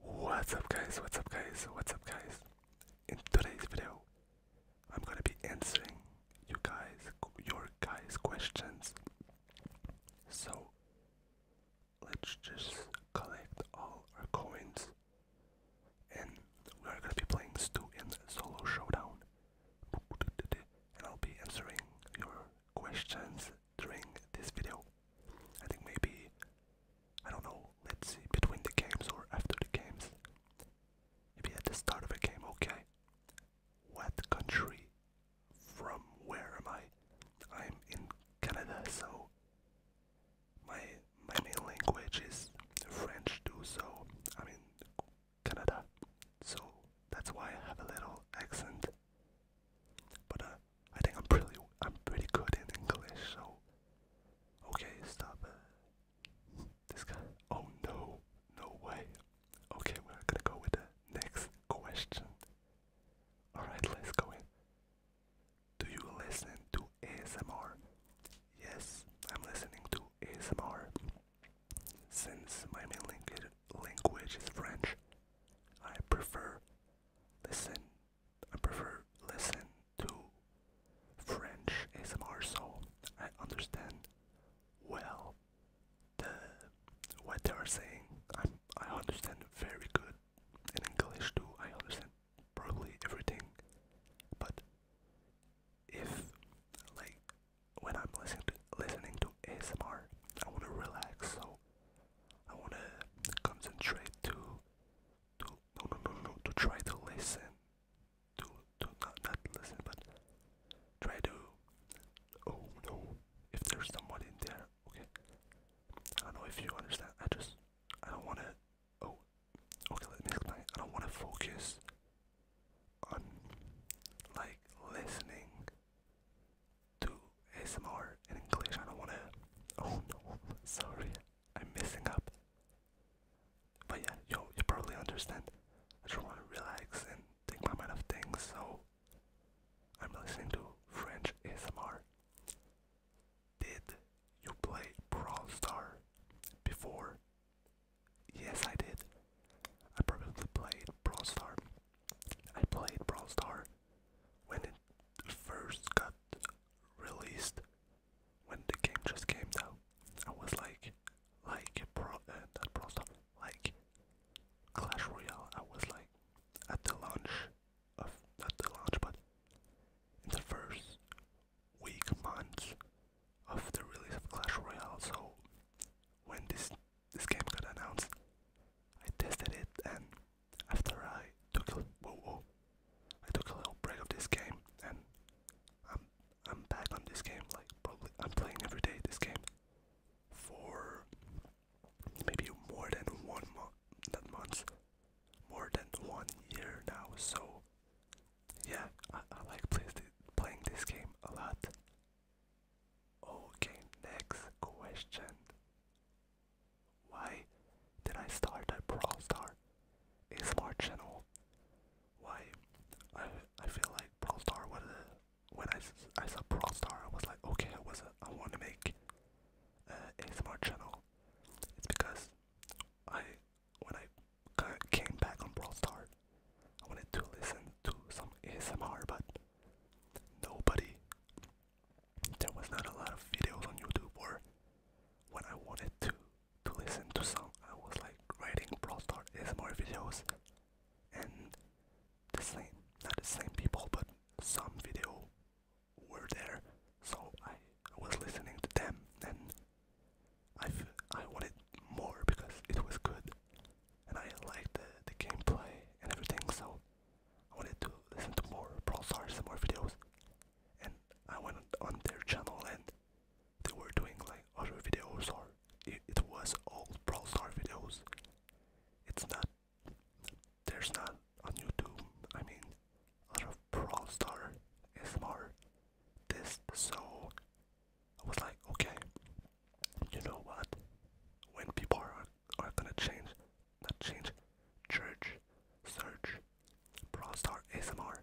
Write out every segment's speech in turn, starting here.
What's up guys, what's up guys, what's up guys? In today's video, I'm gonna be answering you guys, your guys' questions. So, let's just collect all our coins. And we are gonna be playing Stu in Solo Showdown. And I'll be answering your questions during this video. I think maybe, I don't know, let's see, between the games or after the games. Maybe at the start of a game, okay. What country? From where am I? I'm in Canada, so my my main language is French too, so I'm in Canada. So that's why I have a little accent. But uh, I think I'm pretty I'm pretty good in English, so okay, stop it. Uh, this guy. Oh no, no way. Okay, we're gonna go with the next question. All right, let's go in. Do you listen to ASMR? Yes, I'm listening to ASMR. Since my main language is French, I prefer listen I prefer listen to French ASMR, so I understand well the what they are saying. i I understand very good in English too. I understand probably everything, but if like when I'm listening to listening to ASMR, I want to relax, so I want to concentrate too to no no no no to try to listen to to not not listen but try to oh no if there's someone in there okay I don't know if you understand I just I don't wanna oh okay let me explain I don't wanna focus on like listening to ASMR in English. I don't want to. Oh no, sorry, I'm messing up. But yeah, yo, you probably understand. I just want to relax and take my mind off things, so I'm listening to French ASMR. Did you play Brawl Star before? Yes, I did. I probably played Brawl Star. I played Brawl when it first got released, when the game just came out, I was like, like pro, uh, not pro stuff, like Clash Royale. I was like at the launch of not the launch, but in the first week, months of the release of Clash Royale. So when this this game got announced, I tested it and after I took a whoa, whoa, I took a little break of this game, and I'm I'm back on this game. Like probably I'm playing every day this game for maybe more than one month, not months, more than one year now. So yeah, I, I like playing this game a lot. Okay, next question. Why did I start a Brawl Star ASMR channel? Why? I I feel like Brawl Star. when I, I saw Brawl Star, I was like, okay, I was a, I want to make uh, a ASMR channel. It's because I when I came back on Brawl Star, I wanted to listen to some ASMR, but nobody there was not a lot of videos on YouTube or when I wanted to to listen to some I was like writing Prostar. Is more videos and the same not the same people but some video were there so I was listening to them and I, I wanted more because it was good and I liked the, the gameplay and everything so I wanted to listen to more Prostar. Some more videos and I went on their channel and they were doing like other videos or it, was old Brawl Star videos. It's not, there's not on YouTube, I mean, a lot of Brawl Star more this, so I was like, okay, you know what, when people are, are gonna change not change, church, search, Brawl ASMR.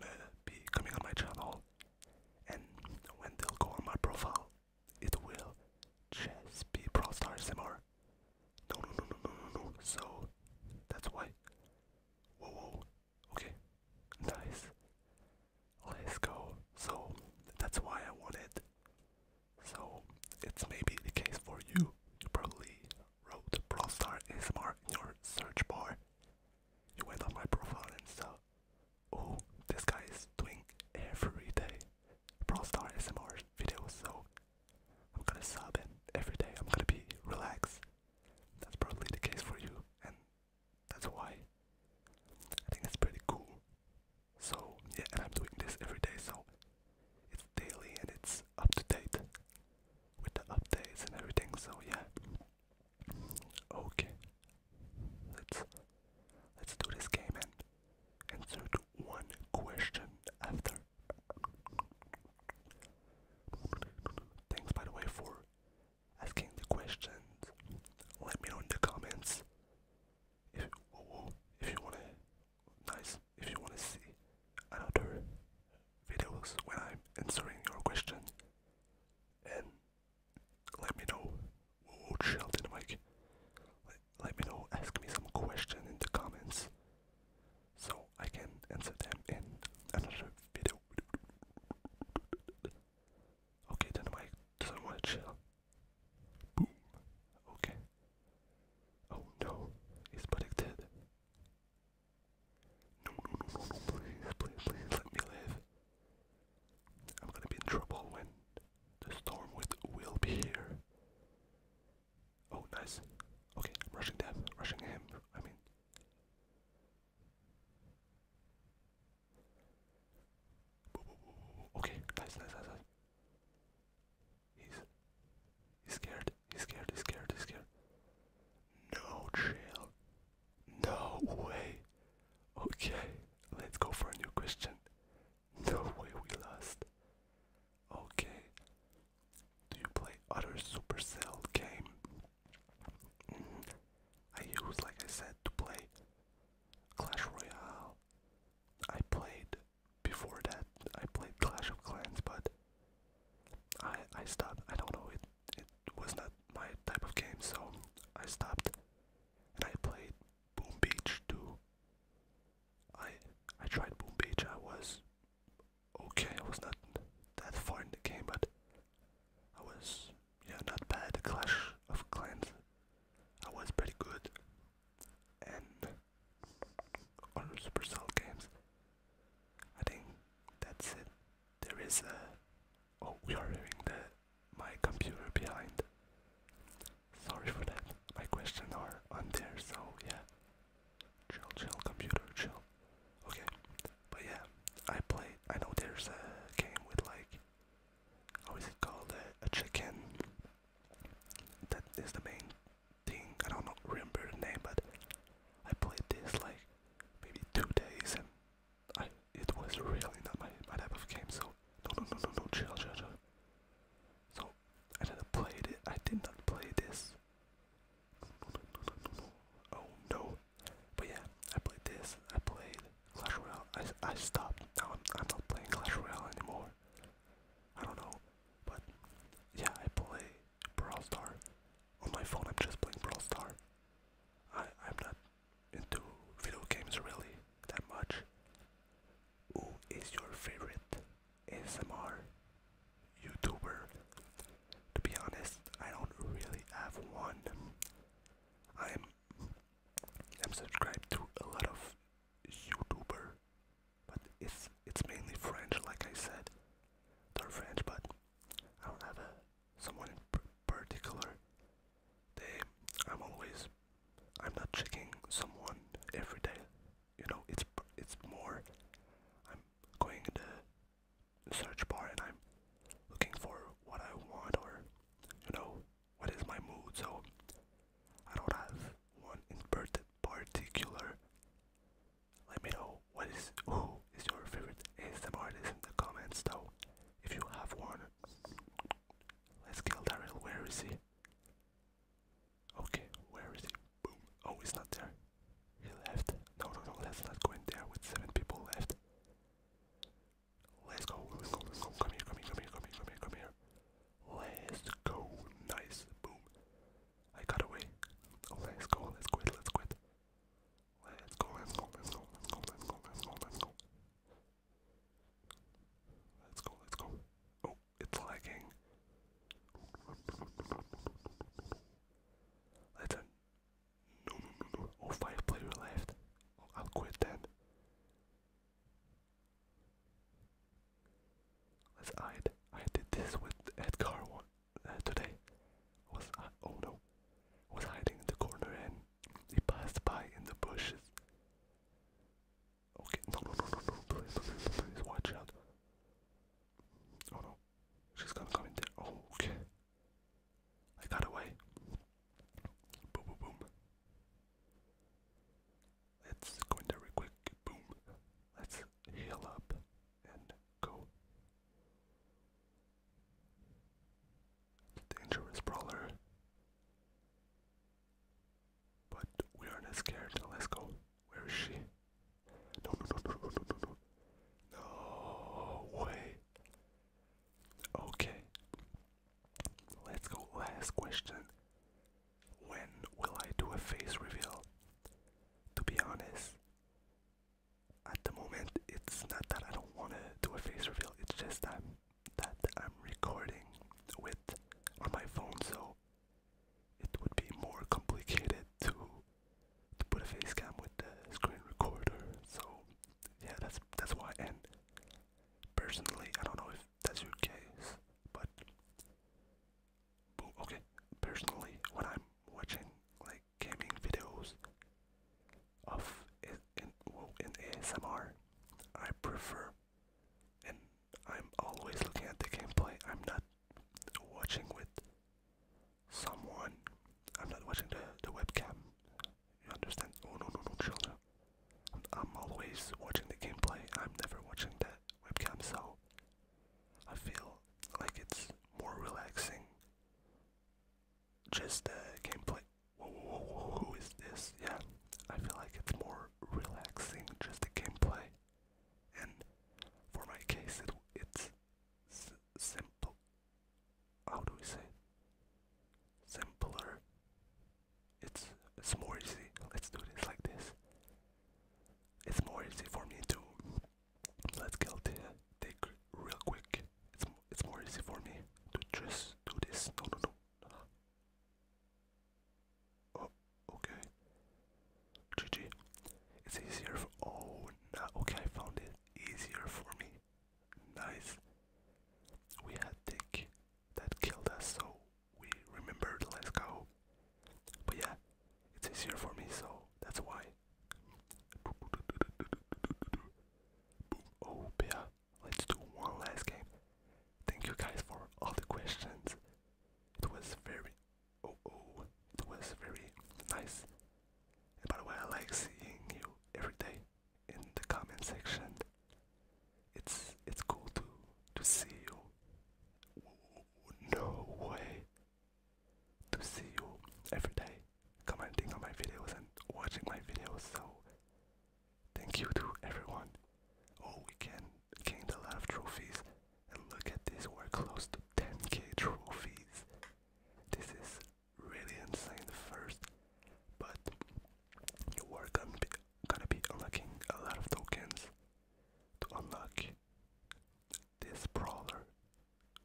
they gonna be coming on my channel, and when they'll go on my profile, it will just be Brawl ASMR. No, no, no, no, no, no, no. So that's why. Whoa, whoa. Okay, nice. Let's go. So that's why I wanted so it's maybe the case for you. You probably wrote Prostar smr" in your search bar. You went on my profile and saw, oh, this guy is doing every day Prostar smr videos, so I'm gonna sub in every day. I'm gonna be relaxed. That's probably the case for you, and that's why I think it's pretty cool. So yeah, and I'm doing this every day, so it's daily and it's up to date with the updates and everything. So yeah. Okay. Let's let's do this game and answer one question after. Thanks by the way for asking the questions. Let me know in the comments if, you want to nice if you want to see another videos when I'm answering your question and let me know whoa Sheldon Mike let, me know ask me some question in the comments so I can answer them in another video okay then Mike doesn't chill boom okay Oh no, he's predicted. No, no, no, no, no, please, please, please let me live. I'm gonna be in trouble when the storm with will be here. Oh, nice. Okay, I'm rushing death, rushing him, I mean. Okay, nice, nice, nice. He's scared. He's scared. He's scared. He's scared. No trail. No way. Okay, let's go for a new question. No way we lost. Okay. Do you play other Supercell game? Mm-hmm. I use, like I said, to play Clash Royale. I played before that I played Clash of Clans, but I I stopped. I don't know it it was not my type of game, so I stopped. And I played Boom Beach too. I I tried Boom Beach. I was okay. I was not that far in the game, but I was yeah not bad. Clash of Clans. I was pretty good, and on Supercell games. I think that's it. There is a. Oh, we are hearing the my computer behind. Sorry for that. My questions are on there, so yeah. Chill, chill, computer, chill. Okay, but yeah, I play. I know there's a game with like, how is it called? a chicken. That is the main thing. I don't remember the name, but I played this like maybe two days, and I it was really not my my type of game. So no no no no no chill chill So I didn't play it. I did not play this. Oh no! But yeah, I played this. I played Clash Royale. I I stopped. Now I'm I'm not playing Clash Royale anymore. I don't know. But yeah, I play Brawl Star. On my phone, I'm just playing Brawl Star. I, I'm not into video games really that much. Who is your favorite S M R YouTuber? To be honest, I don't really have one. I'm I'm subscribed to a lot of YouTubers but it's it's mainly French, like I said. They're French, but I don't have a someone in particular. I'm always, I'm not checking someone every day. You know, it's it's more. I'm going in the search bar and I'm looking for what I want or you know what is my mood. So I don't have one in particular. Let me know what is who is your favorite is the artist in the comments though, if you have one. Let's kill Daryl. Where is he? Okay, where is he? Boom. Oh, he's not there. He left. No, no, no. Let's not go in there with seven people left. Let's go. Let's go. Let's go. Come here. Come here. Come here. Come here. Come here. Come here. Let's go. Nice. Boom. I got away. Let's go, let's quit, let's quit. Let's go, let's go, let's go, let's go, let's go, let's go, let's go. Let's go, let's go. Oh, it's lagging. Let's uh, no no no no. Oh five player left. I'll quit then. Let's hide. I did this with Edgar one today. was oh no, was hiding in the corner and he passed by in the bushes. Okay, no no no no no, please please please watch out. Oh no, she's gonna come in there. okay, I got away. Boom boom boom. Let's go in there real quick. Boom. Let's heal up and go. Dangerous brawler. But we are not scared. Let's go. Where is she? no, no, no, no, no, no, no. No way. Okay. Let's go. Last question. When will I do a face reveal? To be honest, at the moment it's not that I don't want to do a face reveal, it's just that, I'm recording with on my phone, so it would be more complicated to to put a face cam with the screen recorder. So yeah, that's that's why. And personally, I don't know if that's your case, but Okay, personally, when I'm watching like gaming videos of in, in, well, in I prefer, and I'm always looking at the gameplay. I'm not watching with someone. I'm not watching the the webcam. You understand? Oh no no no children. i I'm always watching the gameplay. I'm never watching the webcam. So I feel like it's more relaxing. Just uh, gameplay. Whoa, who is this? Yeah, I feel like it's more relaxing just the gameplay. And for my case, it's simple. How do we say Simpler. It's it's more easy. Let's do this like this. It's more easy for me to Let's kill the tick real quick. It's it's more easy for me to just do this. No, no, no. Oh, okay. GG. It's easier for. Oh, no. Okay, I found it easier for me. Nice. We had tick that killed us, so we remembered. Let's go. But yeah, it's easier for me, so that's why. Oh yeah, let's do one last game. Thank you guys for all the questions. It was very oh oh it was very nice. And I like seeing you every day in the comment section. It's it's cool to to see you. No way to see you every day commenting on my videos and watching my videos. So thank you to everyone. Oh, we can gain a lot of trophies, and look at this, we're close to 10k trophies. This is really insane first, but you are going gonna be unlocking a lot of tokens to unlock this brawler,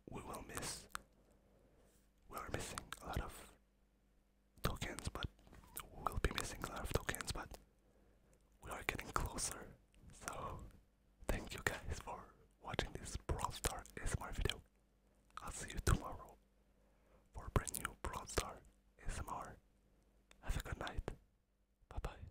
we will miss. We are missing a lot of tokens, but we'll be missing a lot of tokens, but we are getting closer. So, thank you guys for watching this Brawl S M R video. I'll see you tomorrow for brand new Brawl S M R. Have a good night. Bye bye.